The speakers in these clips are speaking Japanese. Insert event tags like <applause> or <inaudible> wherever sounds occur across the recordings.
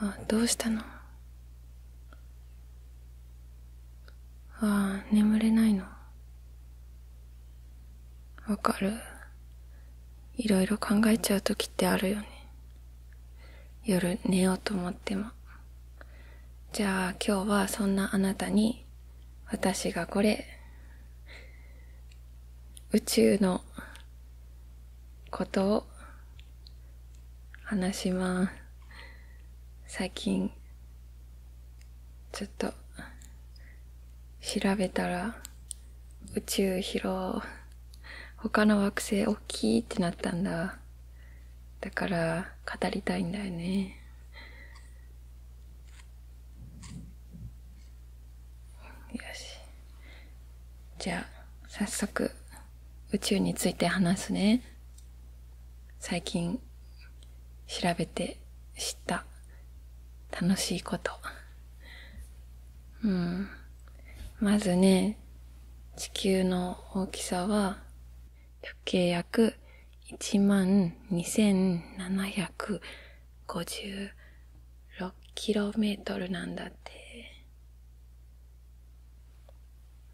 あどうしたのああ眠れないのわかる色々考えちゃう時ってあるよね夜寝ようと思ってもじゃあ今日はそんなあなたに私がこれ宇宙のことを話します。最近、ちょっと、調べたら、宇宙広、他の惑星大きいってなったんだ。だから、語りたいんだよね。よし。じゃあ、早速。宇宙について話すね。最近調べて知った楽しいこと。うん。まずね、地球の大きさは直径約1万2756キロメートルなんだって。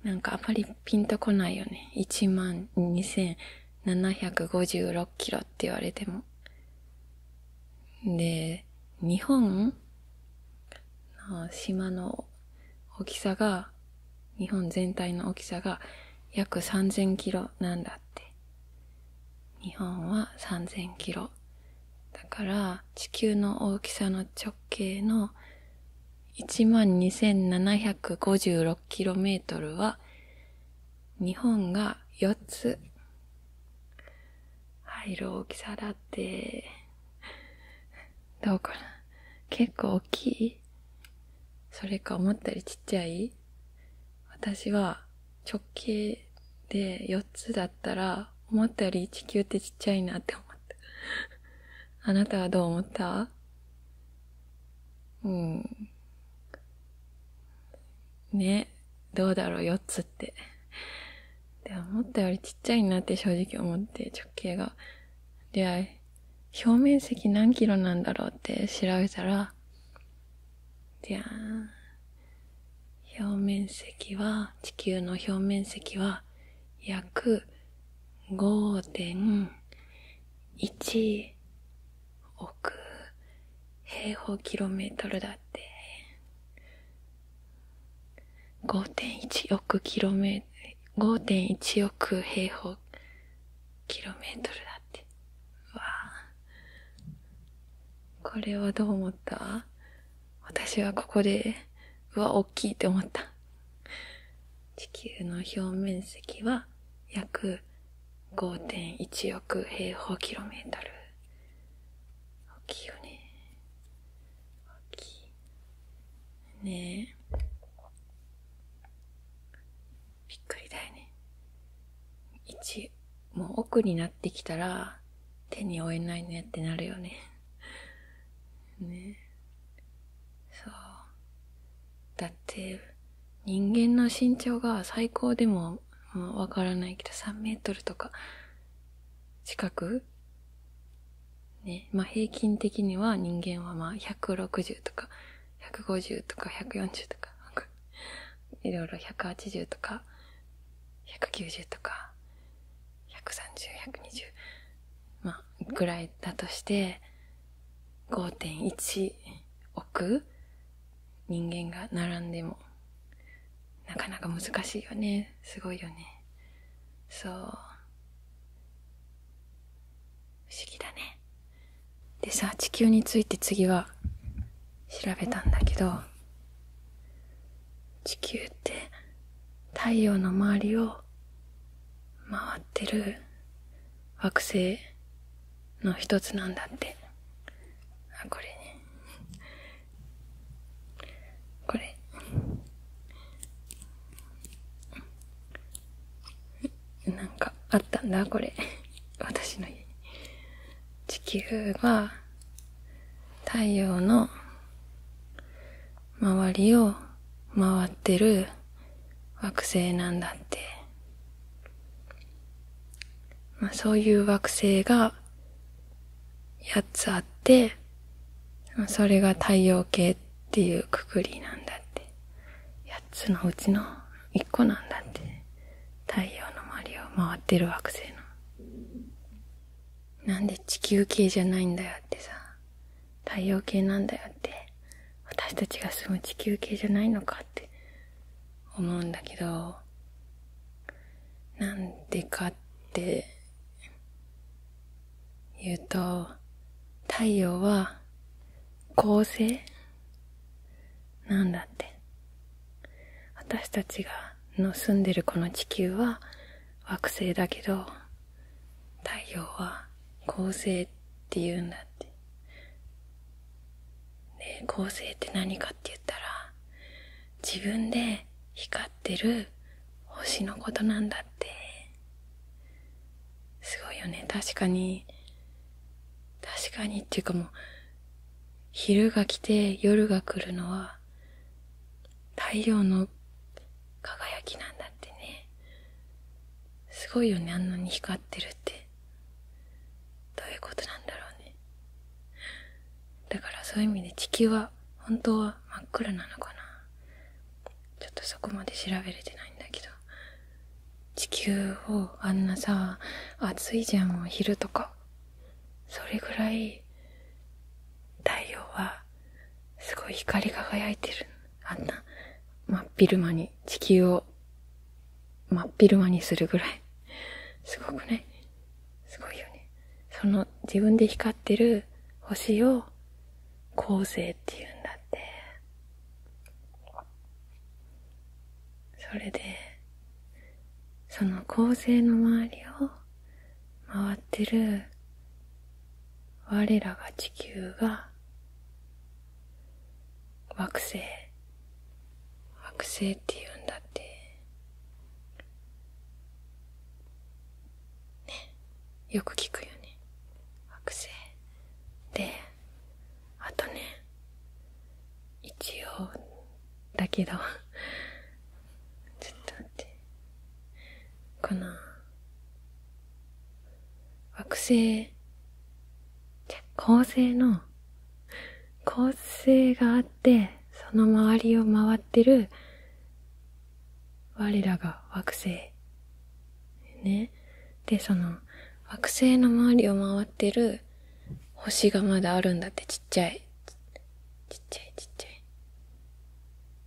なんかあまりピンとこないよね。12,756キロって言われても。で、日本の島の大きさが、日本全体の大きさが約3000キロなんだって。日本は3000キロ。だから地球の大きさの直径の 12,756km は日本が4つ入る大きさだって。<laughs> どうかな結構大きいそれか思ったよりちっちゃい私は直径で4つだったら思ったより地球ってちっちゃいなって思っう。あなたはどう思ったうん。ね、どうだろう、4つって。で思ったよりちっちゃいなって正直思って直径が。で、表面積何キロなんだろうって調べたら、じゃあ、表面積は、地球の表面積は約5.1億平方キロメートルだって。5.1億キロメートル、5.1億平方キロメートルだって。わあ。これはどう思った私はここで、うわ、大きいって思った。地球の表面積は約5.1億平方キロメートル。大きいよね。大きい。ねえ。びっくりだよね。1、もう奥になってきたら手に負えないねってなるよね。ねそうだって人間の身長が最高でもわからないけど3メートルとか近くねまあ平均的には人間はまあ160とか150とか140とか <laughs> いろいろ180とか190とか130120まあぐらいだとして5.1億人間が並んでもなかなか難しいよねすごいよねそう不思議だねでさ地球について次は調べたんだけど地球って太陽の周りを回ってる惑星の一つなんだってあこれねこれなんかあったんだこれ私の家に地球は太陽の周りを回ってる惑星なんだって。まあ、そういう惑星が8つあって、それが太陽系っていうくくりなんだって。8つのうちの1個なんだって。太陽の周りを回ってる惑星の。なんで地球系じゃないんだよってさ、太陽系なんだよって、私たちが住む地球系じゃないのかって思うんだけど、なんでかって言うと、太陽は恒星なんだって。私たちがの住んでるこの地球は惑星だけど、太陽は恒星って言うんだって。で、恒星って何かって言ったら、自分で光ってる星のことなんだって。すごいよね。確かに、確かにっていうかもう、昼が来て夜が来るのはは太陽の輝きなんだってねすごいよねあんなに光ってるってどういうことなんだろうねだからそういう意味で地球は本当は真っ暗なのかなちょっとそこまで調べれてないんだけど地球をあんなさ暑いじゃんもう昼とかそれぐらい太陽はすごい光り輝いてる。あんな真っ昼間に地球を真っ昼間にするぐらい。すごくね。すごいよね。その自分で光ってる星を恒星っていうんだって。それで、その恒星の周りを回ってる我らが地球が惑星惑星って言うんだってねよく聞くよね惑星であとね一応だけどちょっと待ってこの惑星じゃ恒星の恒星があってその周りを回ってる我らが惑星ねでその惑星の周りを回ってる星がまだあるんだってちっちゃいちちっちゃい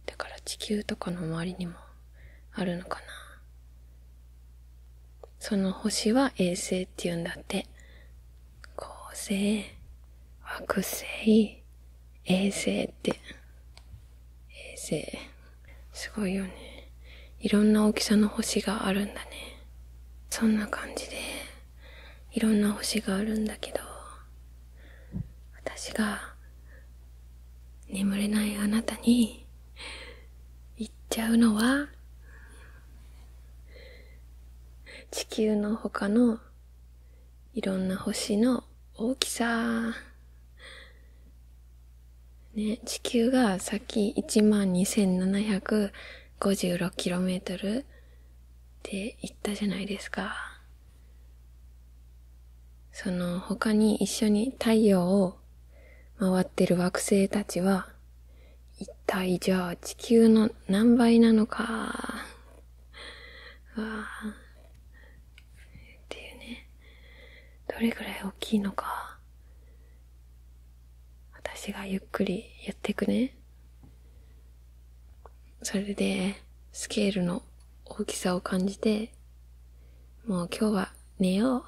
だから地球とかの周りにもあるのかなその星は衛星って言うんだって恒星惑星衛星って衛星すごいよねいろんな大きさの星があるんだねそんな感じでいろんな星があるんだけど私が眠れないあなたに言っちゃうのは地球の他のいろんな星の大きさ。ね、地球がさっき 12,756km って言ったじゃないですか。その他に一緒に太陽を回ってる惑星たちは、一体じゃあ地球の何倍なのか。<laughs> わっていうね。どれぐらい大きいのか。私がゆっくりやってくね。それで、スケールの大きさを感じて、もう今日は寝よう。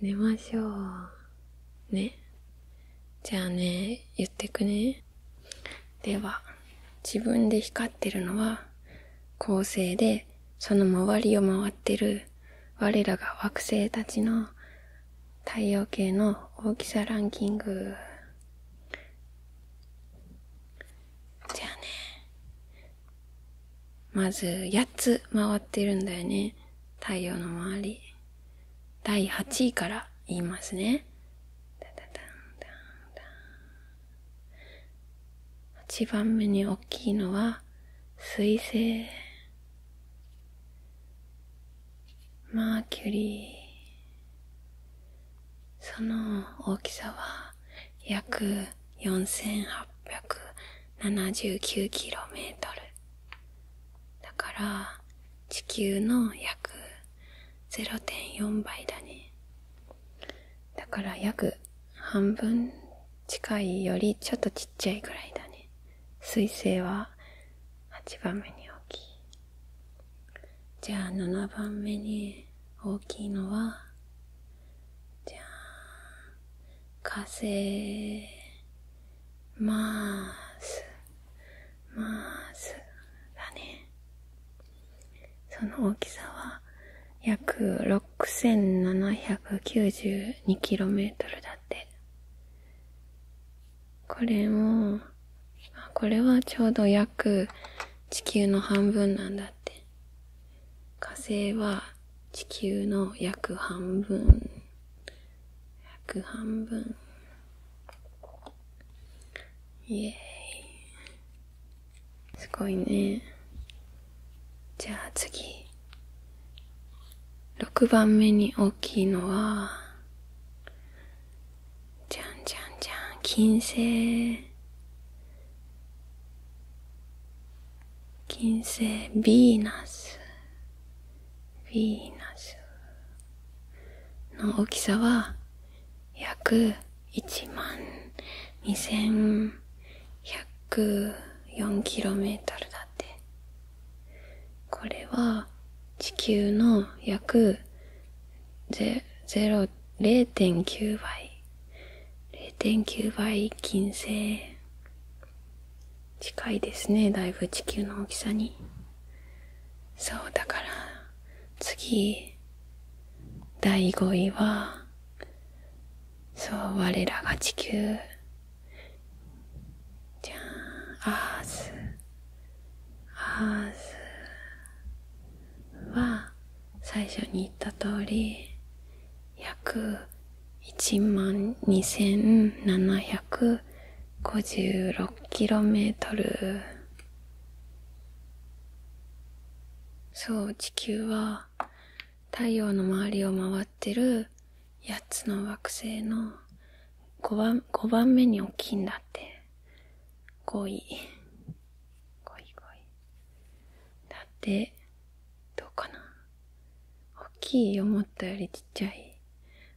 寝ましょう。ね。じゃあね、言ってくね。では、自分で光ってるのは、恒星で、その周りを回ってる、我らが惑星たちの太陽系の大きさランキング。じゃあねまず8つ回ってるんだよね太陽の周り第8位から言いますね8番目に大きいのは水星マーキュリーその大きさは約 4879km だから地球の約0.4倍だねだから約半分近いよりちょっとちっちゃいぐらいだね彗星は8番目に大きいじゃあ7番目に大きいのはじゃあ風ますますだねその大きさは約 6792km だってこれもこれはちょうど約地球の半分なんだって。火星は地球の約半分。約半分。イエイ。すごいね。じゃあ次。6番目に大きいのは、じゃんじゃんじゃん金星金星ヴィーナスヴィーナスの大きさは約1万 2104km だってこれは地球の約0 0.9倍0.9倍金星近いですねだいぶ地球の大きさにそうだから次第5位はそう我らが地球じゃあ、アースまずは最初に言った通り約1万 2756km そう地球は太陽の周りを回ってる8つの惑星の5番 ,5 番目に大きいんだって5位。ゴイゴイだってどうかな大きい思ったよりちっちゃい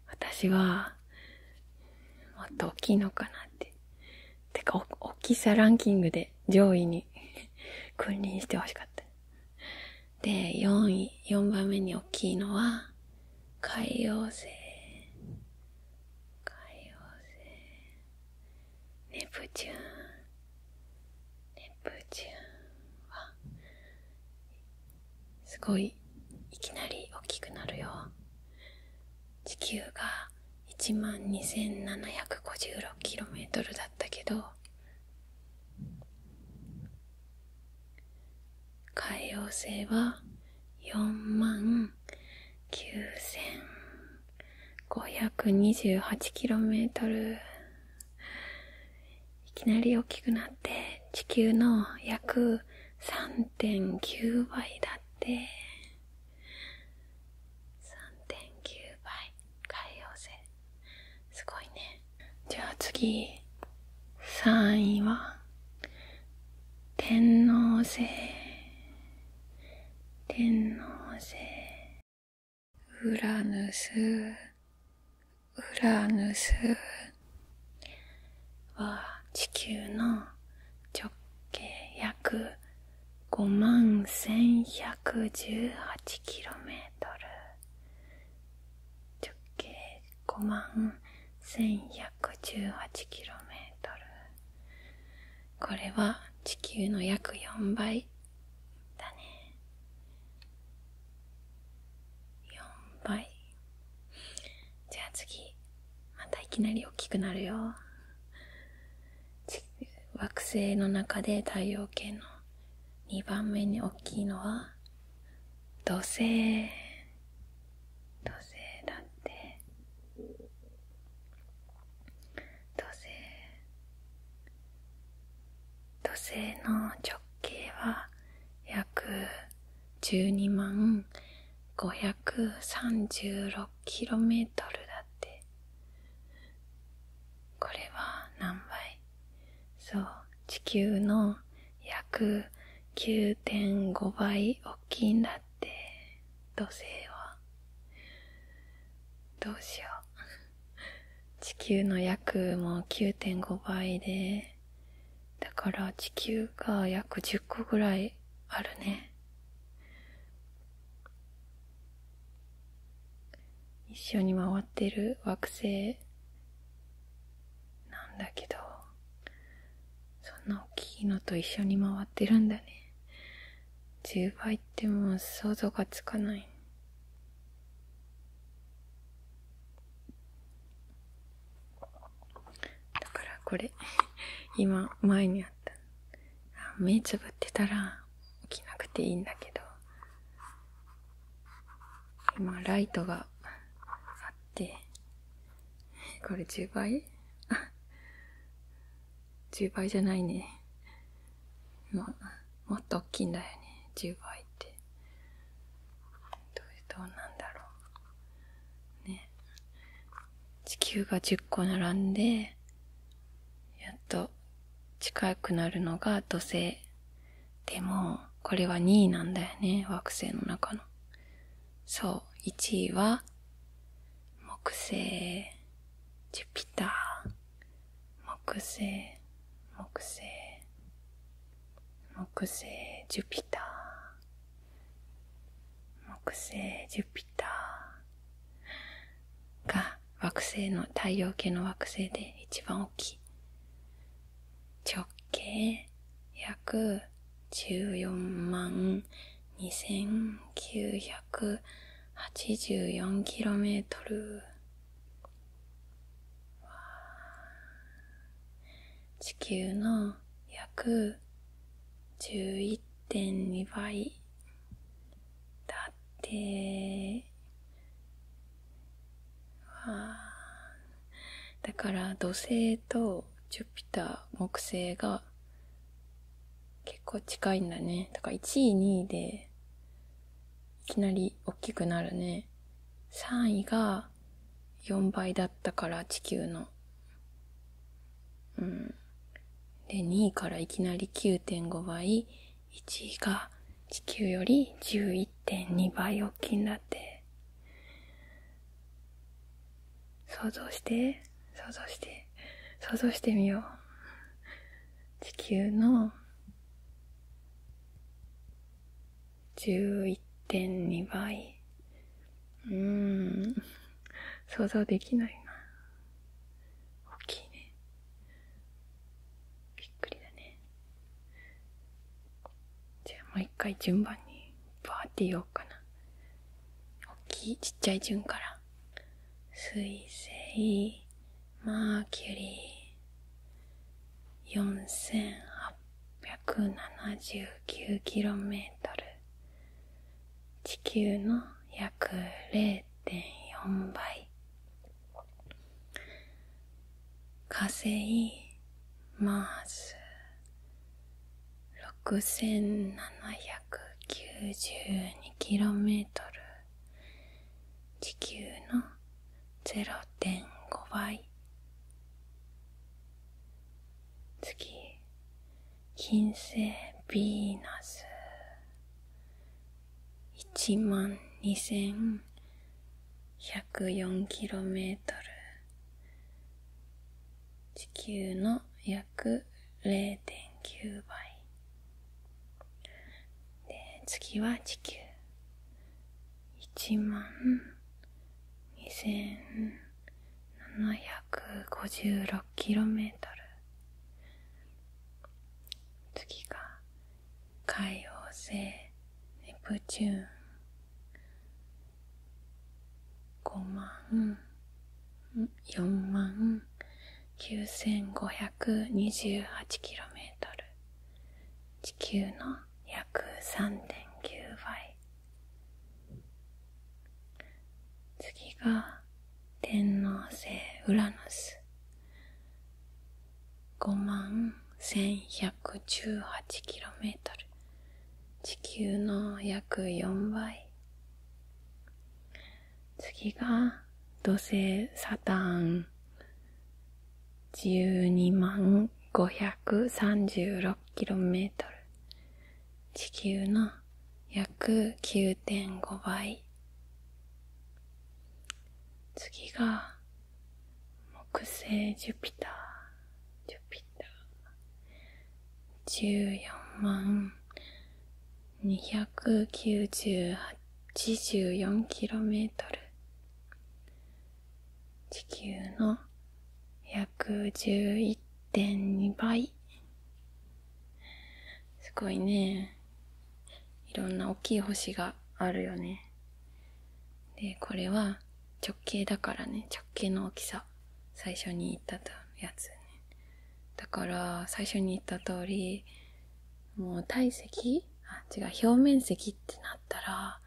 私はもっと大きいのかなっててか大きさランキングで上位に <laughs> 君臨してほしかったで4位4番目に大きいのは海王星。海王星ネプチューンネプチューンはすごいいきなり大きくなるよ地球が1万 2756km だったけど海王星は4万 9528km いきなり大きくなって地球の約3.9倍だって3.9倍海洋性すごいねじゃあ次3位は天王星天王星ウラヌスウラヌスは地球の直径約5万1118キロメートル直径5万1118キロメートルこれは地球の約4倍だね4倍じゃあ次またいきなり大きくなるよ惑星の中で太陽系の2番目に大きいのは土星土星だって土星土星の直径は約12万 536km だってこれは何倍そう地球の約9.5倍大きいんだってっ土星はどうしよう <laughs> 地球の約もう9.5倍でだから地球が約10個ぐらいあるね一緒に回ってる惑星なんだけどそんな大きいのと一緒に回ってるんだね10倍ってもう想像がつかないだからこれ <laughs> 今前にあったあ目つぶってたら起きなくていいんだけど今ライトがあってこれ10倍1倍じゃないね。もっと大きいんだよね。10倍って。どう、どうなんだろう。ね。地球が10個並んで、やっと近くなるのが土星。でも、これは2位なんだよね。惑星の中の。そう、1位は、木星、ジュピター、木星、木星、木星、ジュピター、木星、ジュピターが惑星の、太陽系の惑星で一番大きい。直径約14万 2984km 地球の約11.2倍だってだから土星とジュピター木星が結構近いんだね。だから1位、2位で、いきなり大きくなるね。3位が4倍だったから地球の。うん。で、2位からいきなり9.5倍、1位が地球より11.2倍大きいんだって。想像して想像して想像してみよう地球の11.2倍うん想像できないな大きいねびっくりだねじゃあもう一回順番にバーって言おうかな大きいちっちゃい順から水星マーキュリー 4879km 地球の約0.4倍火星マース 6792km 地球の0.5倍次金星ヴィーナス1万 2104km 地球の約約0.9倍で次は地球1万2756キロメートル次が海王星ネプチューン5万4万 9528km 地球の約3.9倍次が天王星ウラヌス5万 1118km 地球の約4倍次が土星サタン12万 536km 地球の約9.5倍次が木星ジュピタージュピター14万 294km 地球の約11.2倍すごいねいろんな大きい星があるよねでこれは直径だからね直径の大きさ最初に言ったやつねだから最初に言った通りもう体積あ違う表面積ってなったら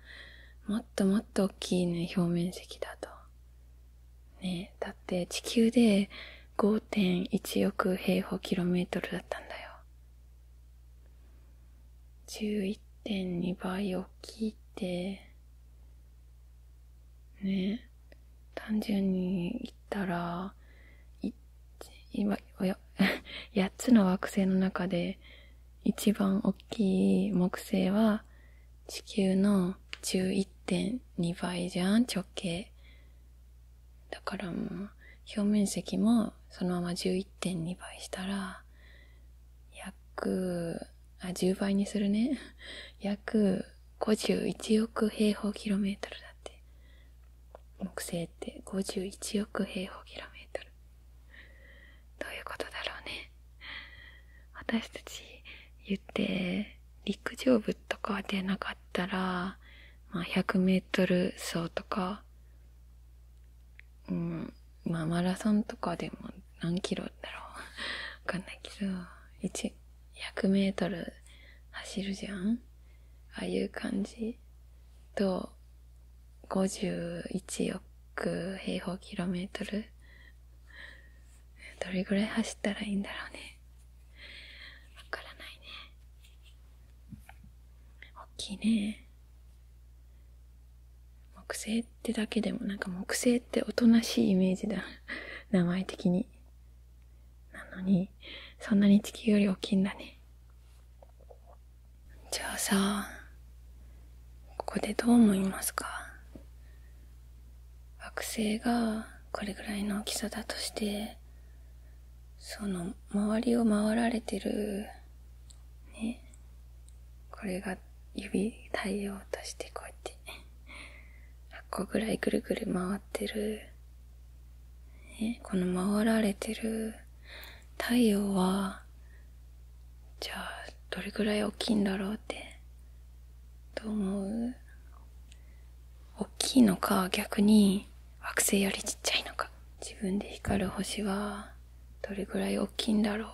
もっともっと大きいね表面積だとねだって地球で5.1億平方キロメートルだったんだよ11.2倍大きいってね単純に言ったら今8 <laughs> つの惑星の中で一番大きい木星は地球の11.2倍じゃん直径だから表面積もそのまま11.2倍したら約あ10倍にするね <laughs> 約51億平方キロメートルだって。木星って51億平方キロメートル。どういうことだろうね。私たち言って、陸上部とか出なかったら、まあ100メートル走とか、うん、まあマラソンとかでも何キロだろう。わかんないけど、1、100メートル走るじゃんああいう感じと、51億平方キロメートル <laughs> どれぐらい走ったらいいんだろうね。わからないね。大きいね。木星ってだけでも、なんか木星っておとなしいイメージだ。<laughs> 名前的に。なのに、そんなに地球より大きいんだね。じゃあさ、ここでどう思いますか惑星がこれぐらいの大きさだとして、その周りを回られてる、ね、これが指太陽としてこうやって100個ぐらいぐるぐる回ってる、ね、この回られてる太陽はじゃあどれぐらい大きいんだろうってどう思う大きいのか逆に惑星よりちっちゃいのか自分で光る星はどれぐらい大きいんだろう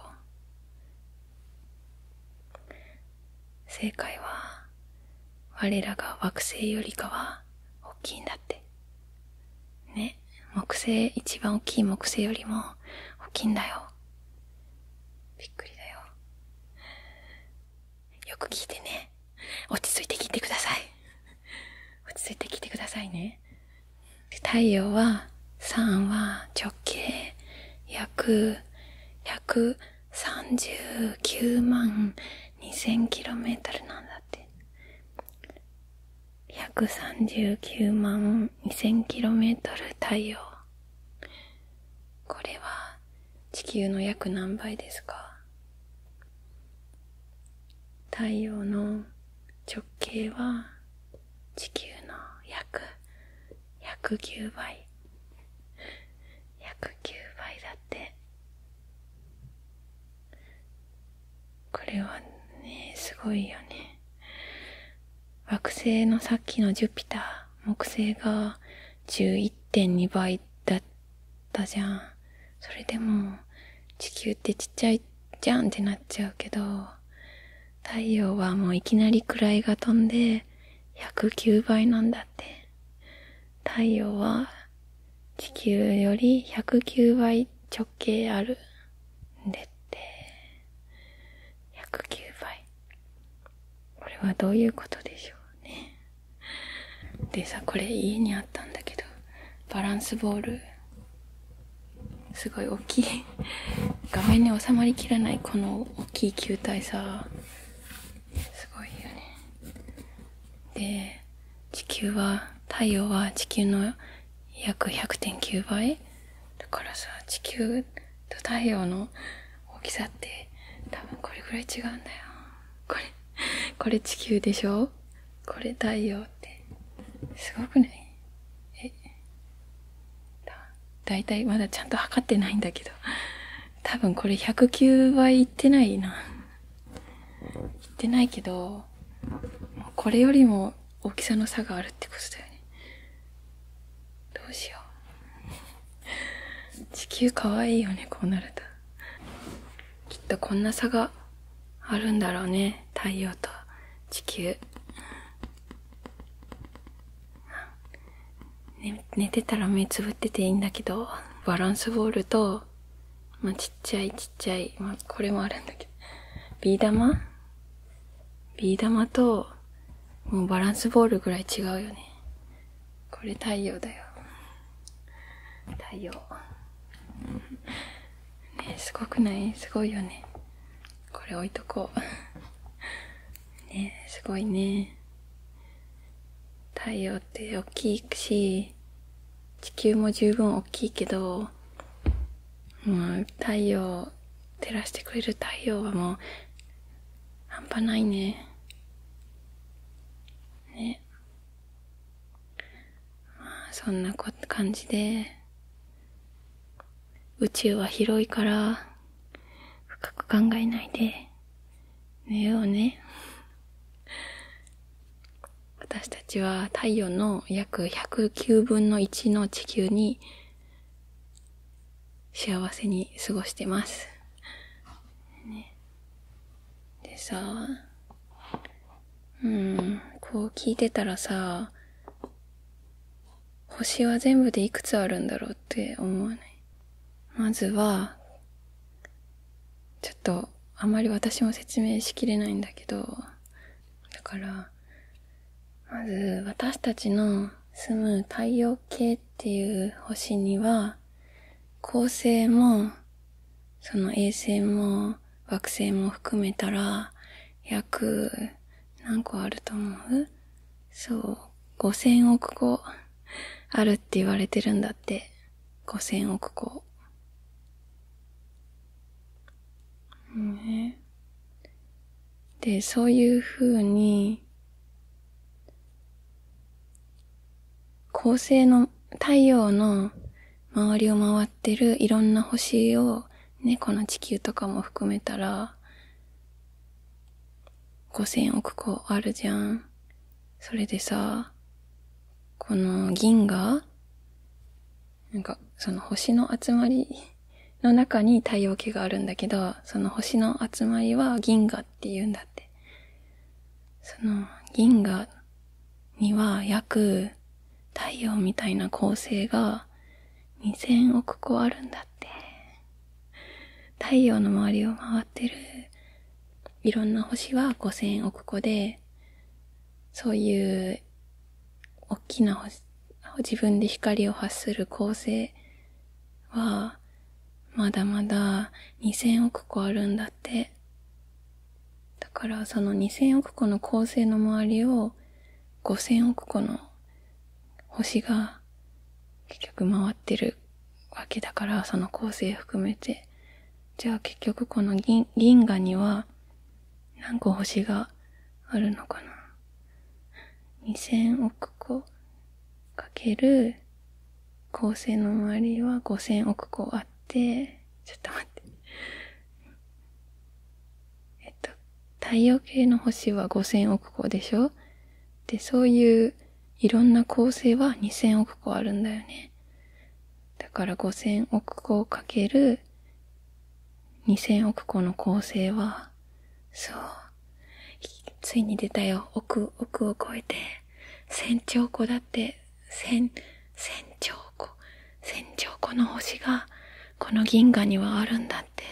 正解は我らが惑星よりかは大きいんだってね木星一番大きい木星よりも大きいんだよびっくりだよよく聞いてね落ち着いて聞いてください落ち着いて聞いてくださいね太陽は3は直径約100 39万 2000km なんだって139万 2000km 太陽これは地球の約何倍ですか太陽の直径は地球の約109倍109倍だってこれはねすごいよね惑星のさっきのジュピター木星が11.2倍だったじゃんそれでも地球ってちっちゃいじゃんってなっちゃうけど太陽はもういきなり位が飛んで109倍なんだって。太陽は地球より109倍直径あるんでって。109倍。これはどういうことでしょうね。でさ、これ家にあったんだけど、バランスボール。すごい大きい。画面に収まりきらないこの大きい球体さ、すごいよねで地球は太陽は地球の約100.9倍だからさ地球と太陽の大きさって多分これぐらい違うんだよこれこれ地球でしょこれ太陽ってすごくないえだだいまだちゃんと測ってないんだけど多分これ109倍いってないないってないけどこれよりも大きさの差があるってことだよねどうしよう <laughs> 地球かわいいよねこうなるときっとこんな差があるんだろうね太陽と地球ね、寝てたら目つぶってていいんだけどバランスボールと、まちっちゃいちっちゃい、まこれもあるんだけどビー玉ビー玉ともうバランスボールぐらい違うよねこれ太陽だよ太陽 <laughs> ねすごくないすごいよねこれ置いとこう <laughs> ねすごいね太陽って大きいし地球も十分大きいけど、もう太陽照らしてくれる太陽はもう半端ないねねまあそんな感じで宇宙は広いから深く考えないで寝ようね。<laughs> 私たちは太陽の約109分の1の地球に幸せに過ごしてます。ね、でさ、うん、こう聞いてたらさ、星は全部でいくつあるんだろうって思わないまずは、ちょっと、あまり私も説明しきれないんだけど、だから、まず私たちの住む太陽系っていう星には、恒星も、その衛星も惑星も含めたら、約何個あると思うそう、5000個あるって言われてるんだって。5000億個。ね、で、そういうふうに、恒星の太陽の周りを回ってるいろんな星を、猫の地球とかも含めたら、5000億個あるじゃん。それでさ、この銀河なんか、その星の集まりの中に太陽系があるんだけど、その星の集まりは銀河って言うんだって。その銀河には約太陽みたいな恒星が2000億個あるんだって。<laughs> 太陽の周りを回ってるいろんな星は5000億個で、そういう大きな星、自分で光を発する恒星は、まだまだ2000億個あるんだって。だからその2000億個の恒星の周りを5000億個の星が結局回ってるわけだから、その構成含めて。じゃあ結局この銀銀河には何個星があるのかな ?2000 億個かける構成の周りは5000億個あって、ちょっと待って。えっと、太陽系の星は5000億個でしょで、そういういろんな構成は2000億個あるんだよね。だから5000億個をかける2000億個の構成は、そう。ついに出たよ。億、億を超えて。1 0 0兆個だって、1000、1 0兆個。1兆個の星が、この銀河にはあるんだって。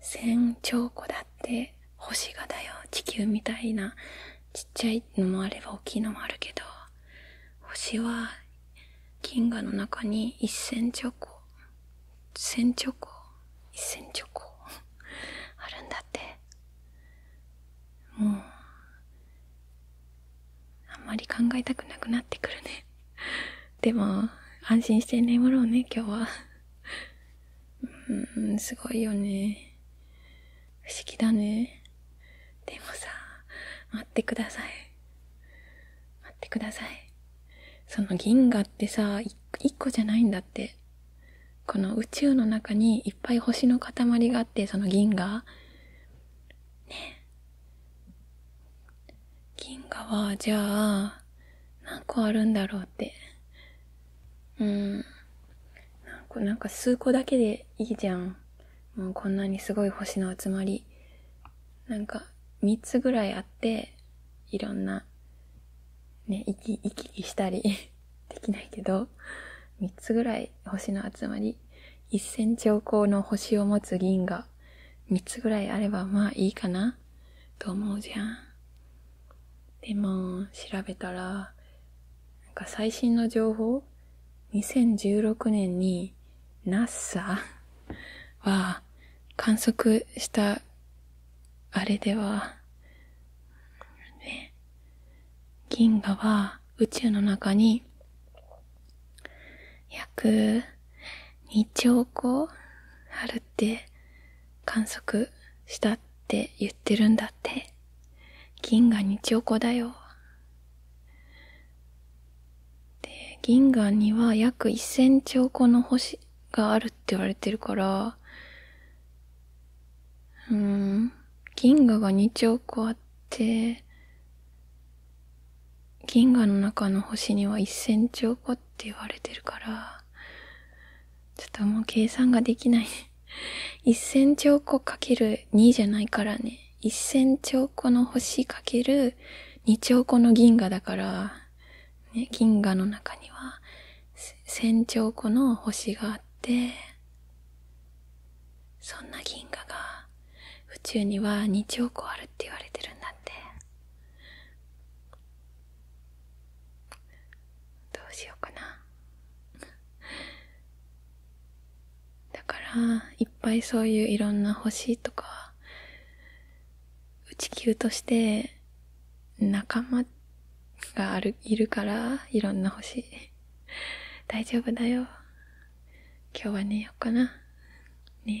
千兆個だって星がだよ地球みたいなちっちゃいのもあれば大きいのもあるけど星は銀河の中に一千兆個千兆個一千兆個あるんだってもうあんまり考えたくなくなってくるねでも安心して眠ろうね今日はうん、すごいよね。不思議だね。でもさ、待ってください。待ってください。その銀河ってさ、1個じゃないんだって。この宇宙の中にいっぱい星の塊があって、その銀河。ね銀河は、じゃあ、何個あるんだろうって。うん。なんか数個だけでいいじゃん。もうこんなにすごい星の集まり。なんか、3つぐらいあって、いろんな、ね、行き、行き来したり <laughs> できないけど、3つぐらい星の集まり、1 0 0 0兆個の星を持つ銀河、3つぐらいあればまあいいかな、と思うじゃん。でも調べたらなんか最新の情報2016年に NASA は観測したあれでは、ね、銀河は宇宙の中に約2兆個あるって観測したって言ってるんだって銀河に兆個だよで銀河には約1000兆個の星があるって言われてるからうん銀河が2兆個あって銀河の中の星には1000兆個って言われてるからちょっともう計算ができない1000兆個かける2じゃないからね1000兆個の星かける2兆個の銀河だから、ね、銀河の中には1000兆個の星があってそんな銀河が宇宙には2兆個あるって言われてるんだってどうしようかなだからいっぱいそういういろんな星とかうち球として仲間があるいるからいろんな星大丈夫だよ今日は寝ようかな寝よ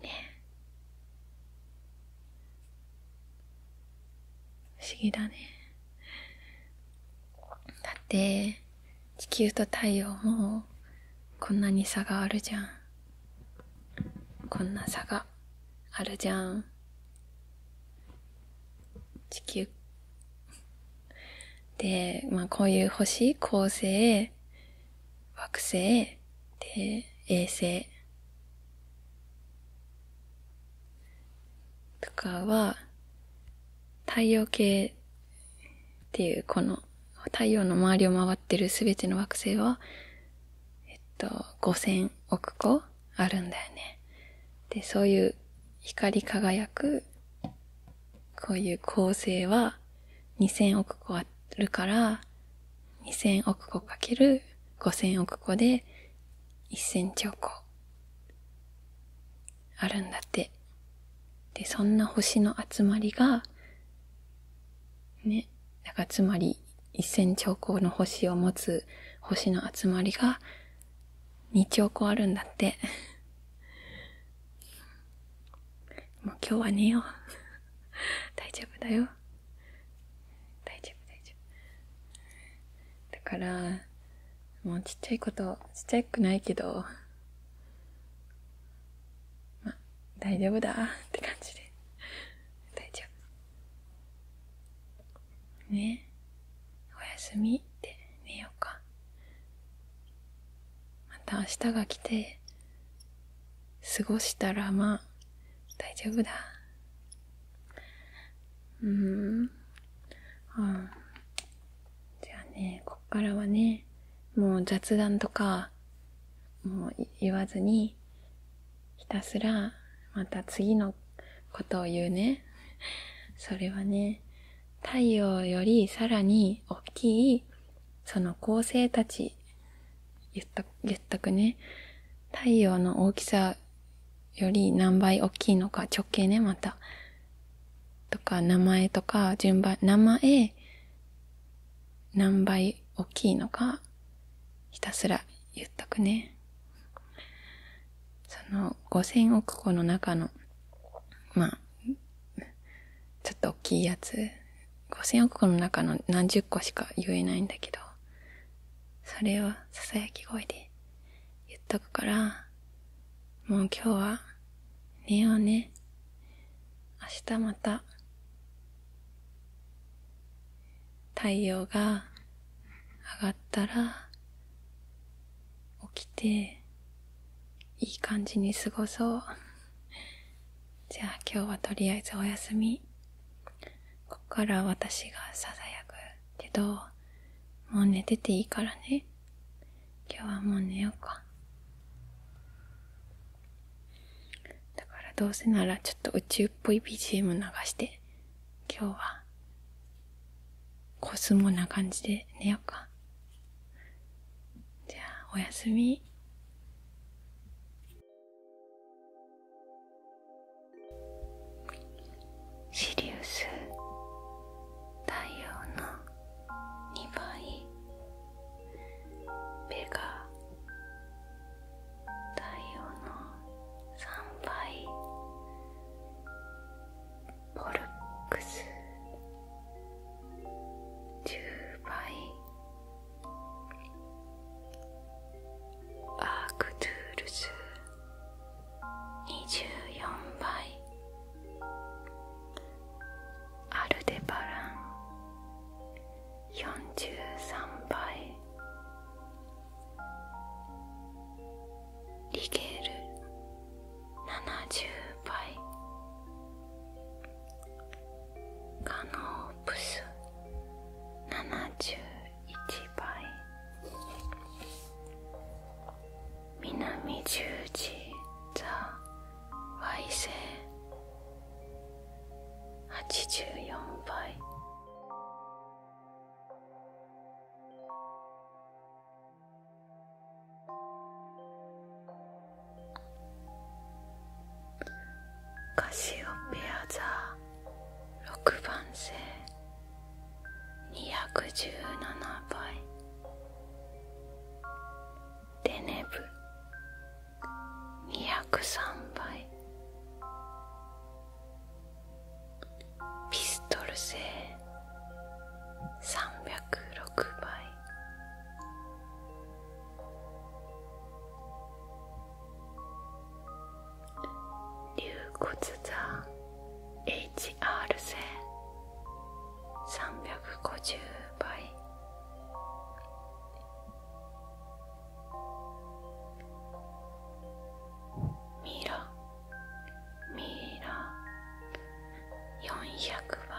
うね不思議だね。だって、地球と太陽もこんなに差があるじゃん。こんな差があるじゃん。地球。で、まあこういう星、恒星、惑星、で、衛星。とかは、太陽系っていうこの太陽の周りを回ってる全ての惑星は、えっと、5000億個あるんだよね。で、そういう光り輝く、こういう構成は2000億個あるから、2000億個かける5000億個で1000兆個あるんだって。で、そんな星の集まりが、ね、だからつまり1000兆個の星を持つ星の集まりが2兆個あるんだって。もう今日は寝よう。<laughs> 大丈夫だよ。大丈夫大丈夫だからもうちっちゃいことちっちゃくないけどまあ大丈夫だって感じで大丈夫ねおやすみって寝ようかまた明日が来て過ごしたらまあ大丈夫だうんうんじゃあねこっからはねもう雑談とかもう言わずにひたすらまた次のことを言うねそれはね太陽よりさらに大きいその恒星たち言った、言ったくね。太陽の大きさより何倍大きいのか、直径ね、また。とか、名前とか、順番、名前、何倍大きいのか、ひたすら言っとくね。その、5 0 0億個の中の、まあ、ちょっと大きいやつ5000億個の中の何十個しか言えないんだけど、それをささやき声で言っとくから、もう今日は寝ようね。明日また太陽が上がったら起きていい感じに過ごそう。じゃあ今日はとりあえずお休み。ここから私がささやくけど、もう寝てていいからね。今日はもう寝ようか。だからどうせならちょっと宇宙っぽい BGM 流して、今日はコスモな感じで寝ようか。じゃあおやすみ。シリウス太陽の2倍ベガ太陽の3倍ボルックス10倍アークトゥールズ24倍アルデバラン43倍リゲール70倍カノープス71倍南十字座矮星84倍カシオペアザー。6番星217倍デネブ203倍ピストル星306倍龍骨山 HR 線350倍ミラミラ400倍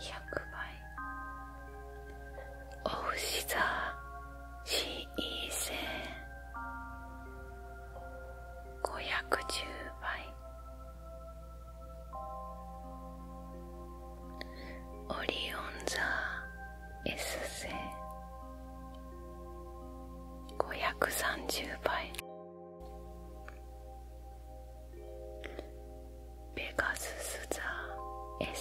400倍オうシザ、シーセ五百十倍オリオン座 S 星五百三十倍ペガススゼー。星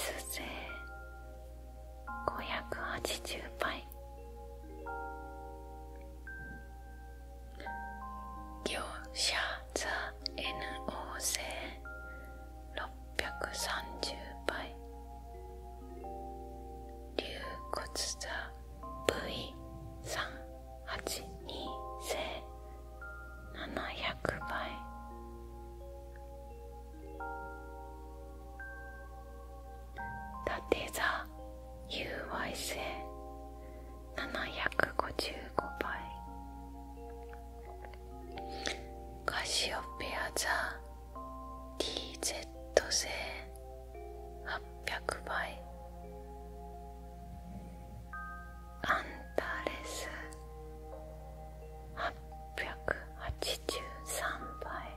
580倍業者ザエ座 NO 星630倍龍骨座 V382 星700倍だて座 UY 線755倍カシオペア座 DZ 線800倍アンタレス883倍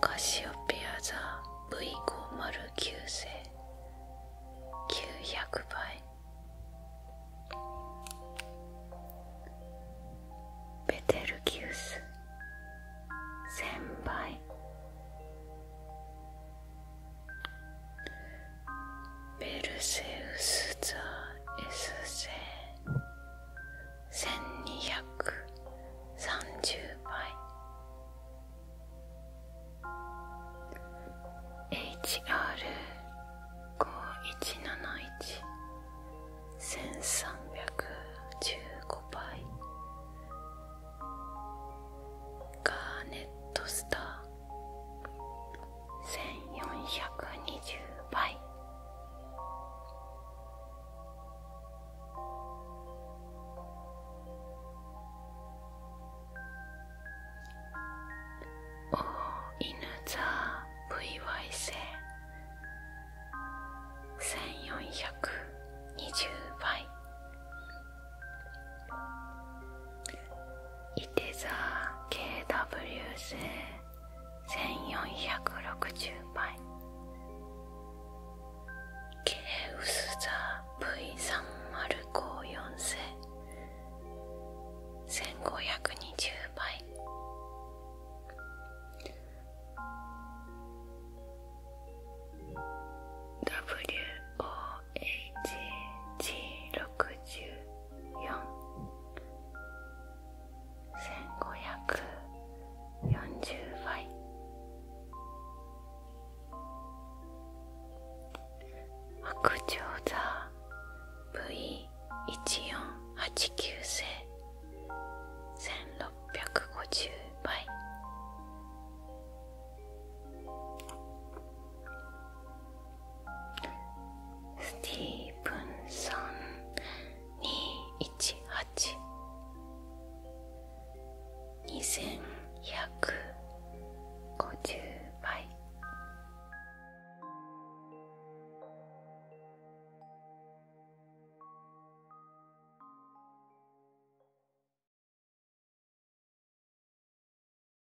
カシオペアザ座 V509 世900倍ベテルギウス1000倍ペルセウスザエ座 S 千二百。三十倍 h r 一七一。千三百。十五倍ガーネットスター1百二十倍お犬座 VY 星1百二十倍いて座 KW 千四百六十倍ケウス座 V3054 千五百二十倍 HG64,1540 倍白鳥座 V1489 世1650倍スティーブンソン218 2150倍